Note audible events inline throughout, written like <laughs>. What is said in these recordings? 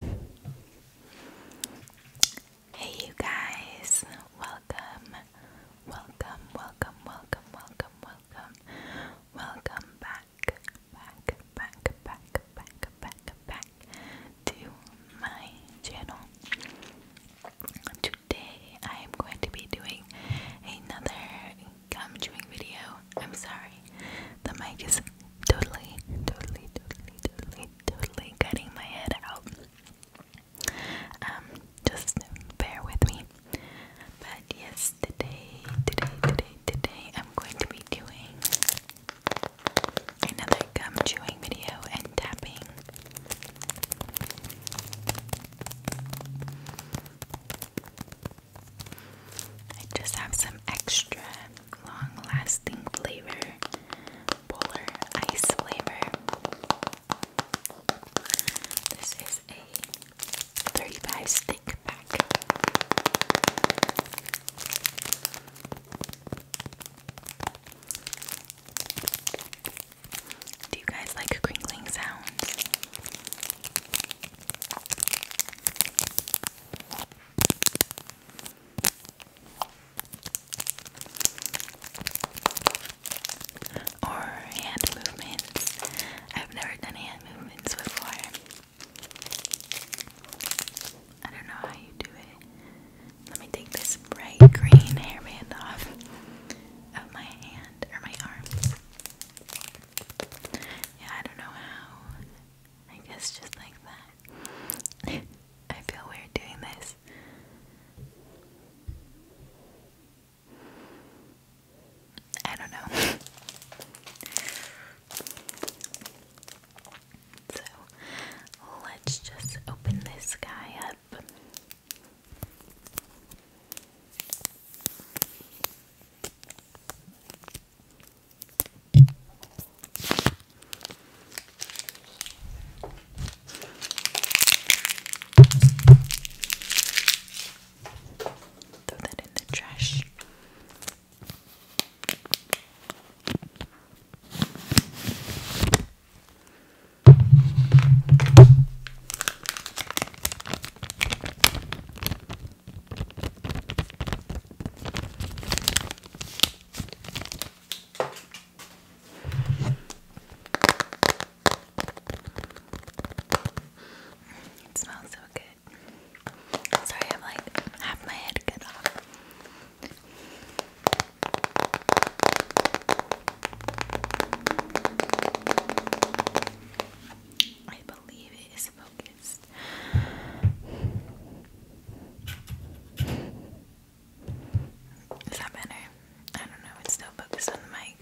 Hey, you guys, welcome, welcome, welcome, welcome, welcome, welcome, welcome back, back, back, back, back, back, back to my channel. Today, I am going to be doing another gum video. I'm sorry, the mic is totally, totally, totally, totally, totally cutting my head out. Um, just bear with me. But yes, today, today, today, I'm going to be doing another gum chewing video and tapping. I just have some extra long-lasting flavor, polar ice flavor. This is a 35 stick pack. Do you guys like crinkling sounds? Or hand movements. I've never done hand movements before. I don't know how you do it. Let me take this bright green hairband off of my hand or my arm. Yeah, I don't know how I guess just like that. <laughs> I feel weird doing this. I don't know. <laughs> so let's just open this guy up. Throw that in the trash. It smells so good. Sorry, I'm like half my head cut off. I believe it is focused. Is that better? I don't know, still focused on the mic.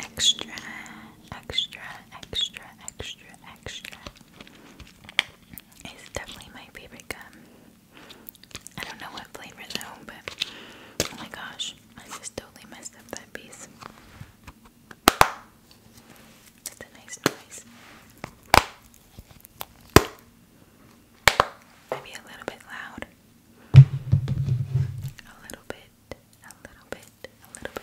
Extra, extra, extra, extra, extra. It's definitely my favorite gum. I don't know what flavor though, but oh my gosh, I just totally messed up that piece. That's nice Maybe a little bit loud. A little bit, a little bit, a little bit.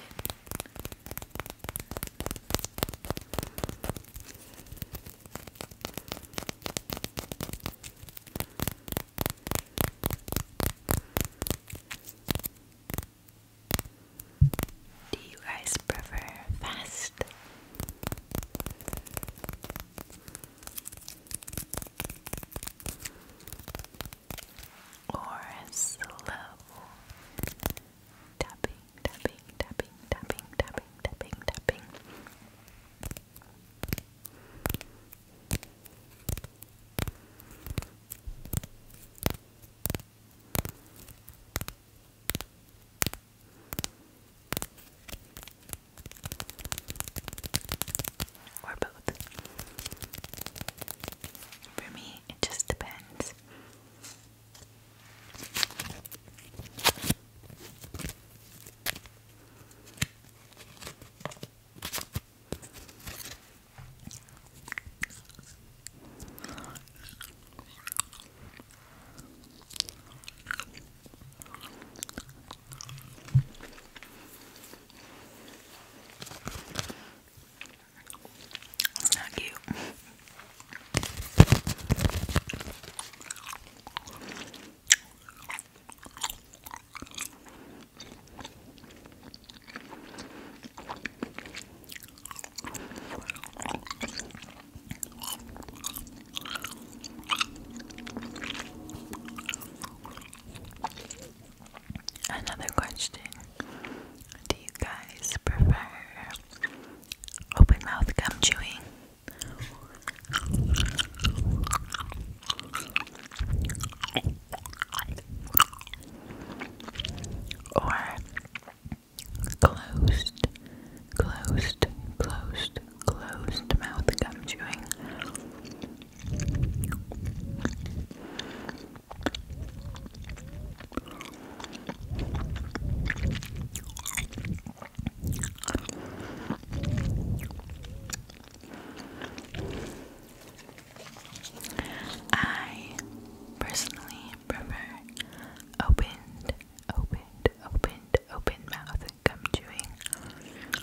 Do you guys prefer fast? Or slow tapping, tapping, tapping, tapping, tapping, tapping, tapping. Or both. For me, it just depends. It's not cute. Another question Do you guys prefer open mouth gum chewing? Or Closed, closed, closed, closed mouth gum chewing. I personally prefer opened, opened, opened, open mouth gum chewing.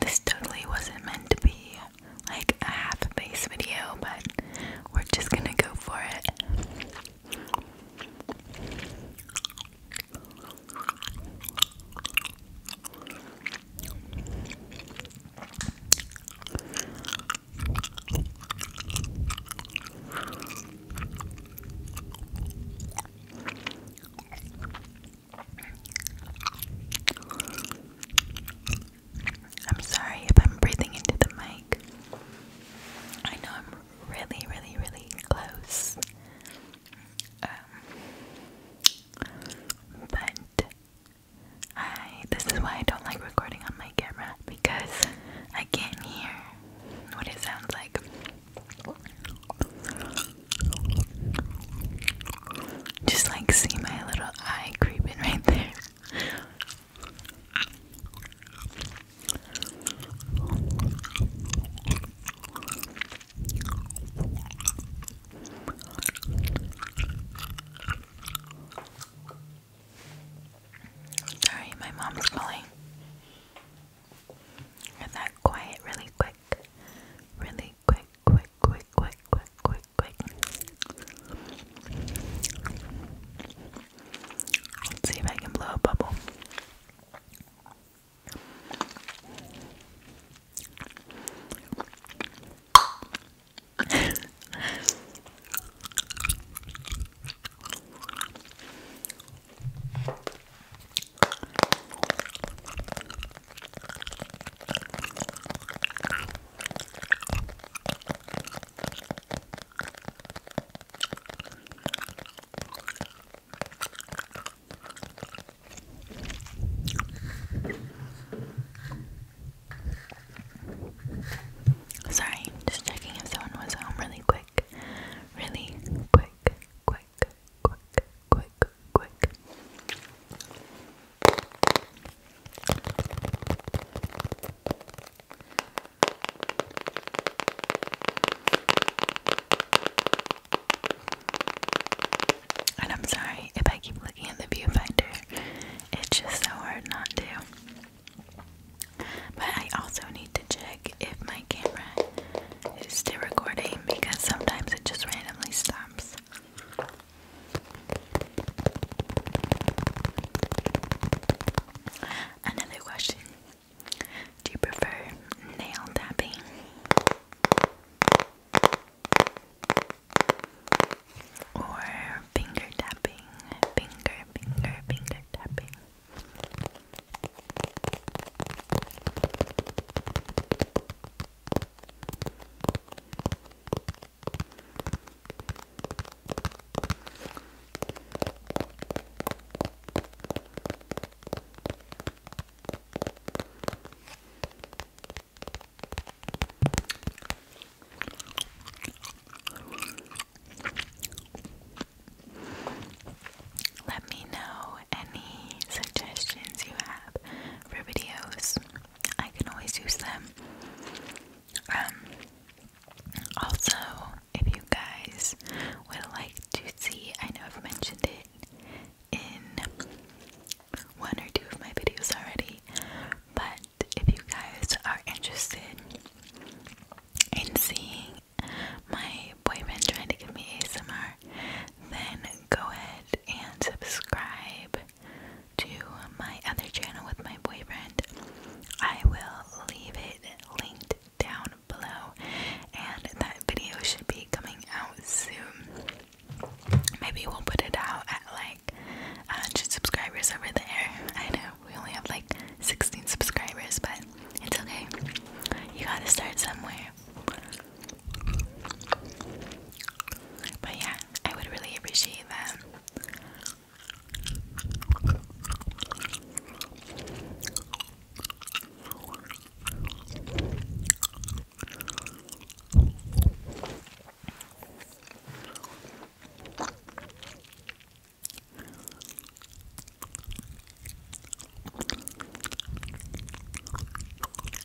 This totally wasn't meant to be like a half a base video, but we're just gonna go for it. I'm sorry if I'm breathing into the mic. I know I'm really, really, really close. Um, but I this is why I don't like recording on my camera because I can't hear what it sounds like. Just like see my little eye creeping right there. Sorry, my mom's calling. Get that quiet really quick. Really quick, quick, quick, quick, quick, quick, quick. Let's see if I can blow a bubble. <laughs> Sorry, just checking if someone was home really quick. Really quick, quick, quick, quick, quick. And I'm sorry if I keep looking at the viewfinder, it's just so hard not to. But I also need to check if my camera is still recording because sometimes it just randomly stops. Another question Do you prefer nail tapping? Or finger tapping? Finger, finger, finger tapping. Let me know any suggestions you have for videos. I can always use them. Um, also, if you guys would like to see, I know I've mentioned it in one or two of my videos already, but if you guys are interested in seeing my boyfriend trying to give me ASMR, then go ahead and subscribe to my other channel with my boyfriend. I will leave it linked down below, and that video should be coming out soon. Maybe we'll put it out at like 100 uh, subscribers over there. I know we only have like 16 subscribers, but it's okay. You gotta start somewhere. But yeah, I would really appreciate that.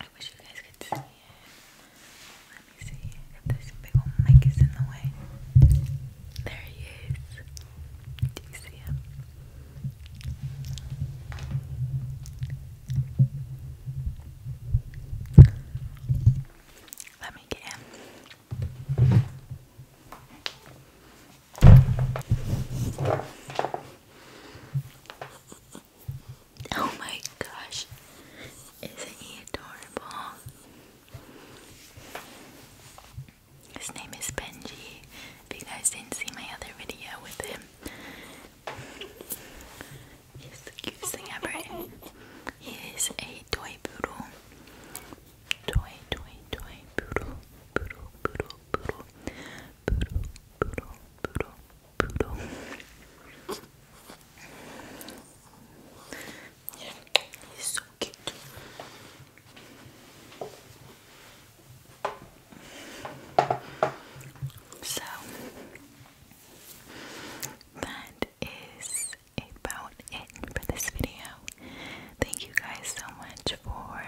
I wish you guys could see it. Let me see if this big old mic is in the way. There he is. Do you see him? Let me get him. Oh my gosh, isn't he adorable? His name is Benji. If you guys didn't see my other video with him, he's the cutest thing ever. He is a toy poodle. Toy, toy, toy, poodle, poodle, poodle, poodle, poodle, poodle, poodle, so that is about it for this video. Thank you guys so much for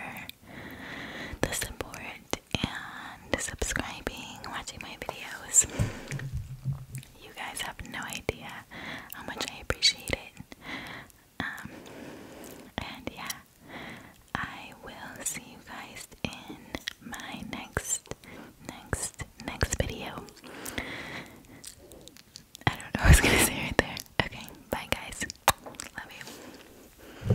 the support and subscribing, watching my videos. You guys have no idea how much I appreciate it. Um, and yeah, I will see you guys in my next, next, next video. I don't know what I was gonna say right there. Okay, bye guys. Love you.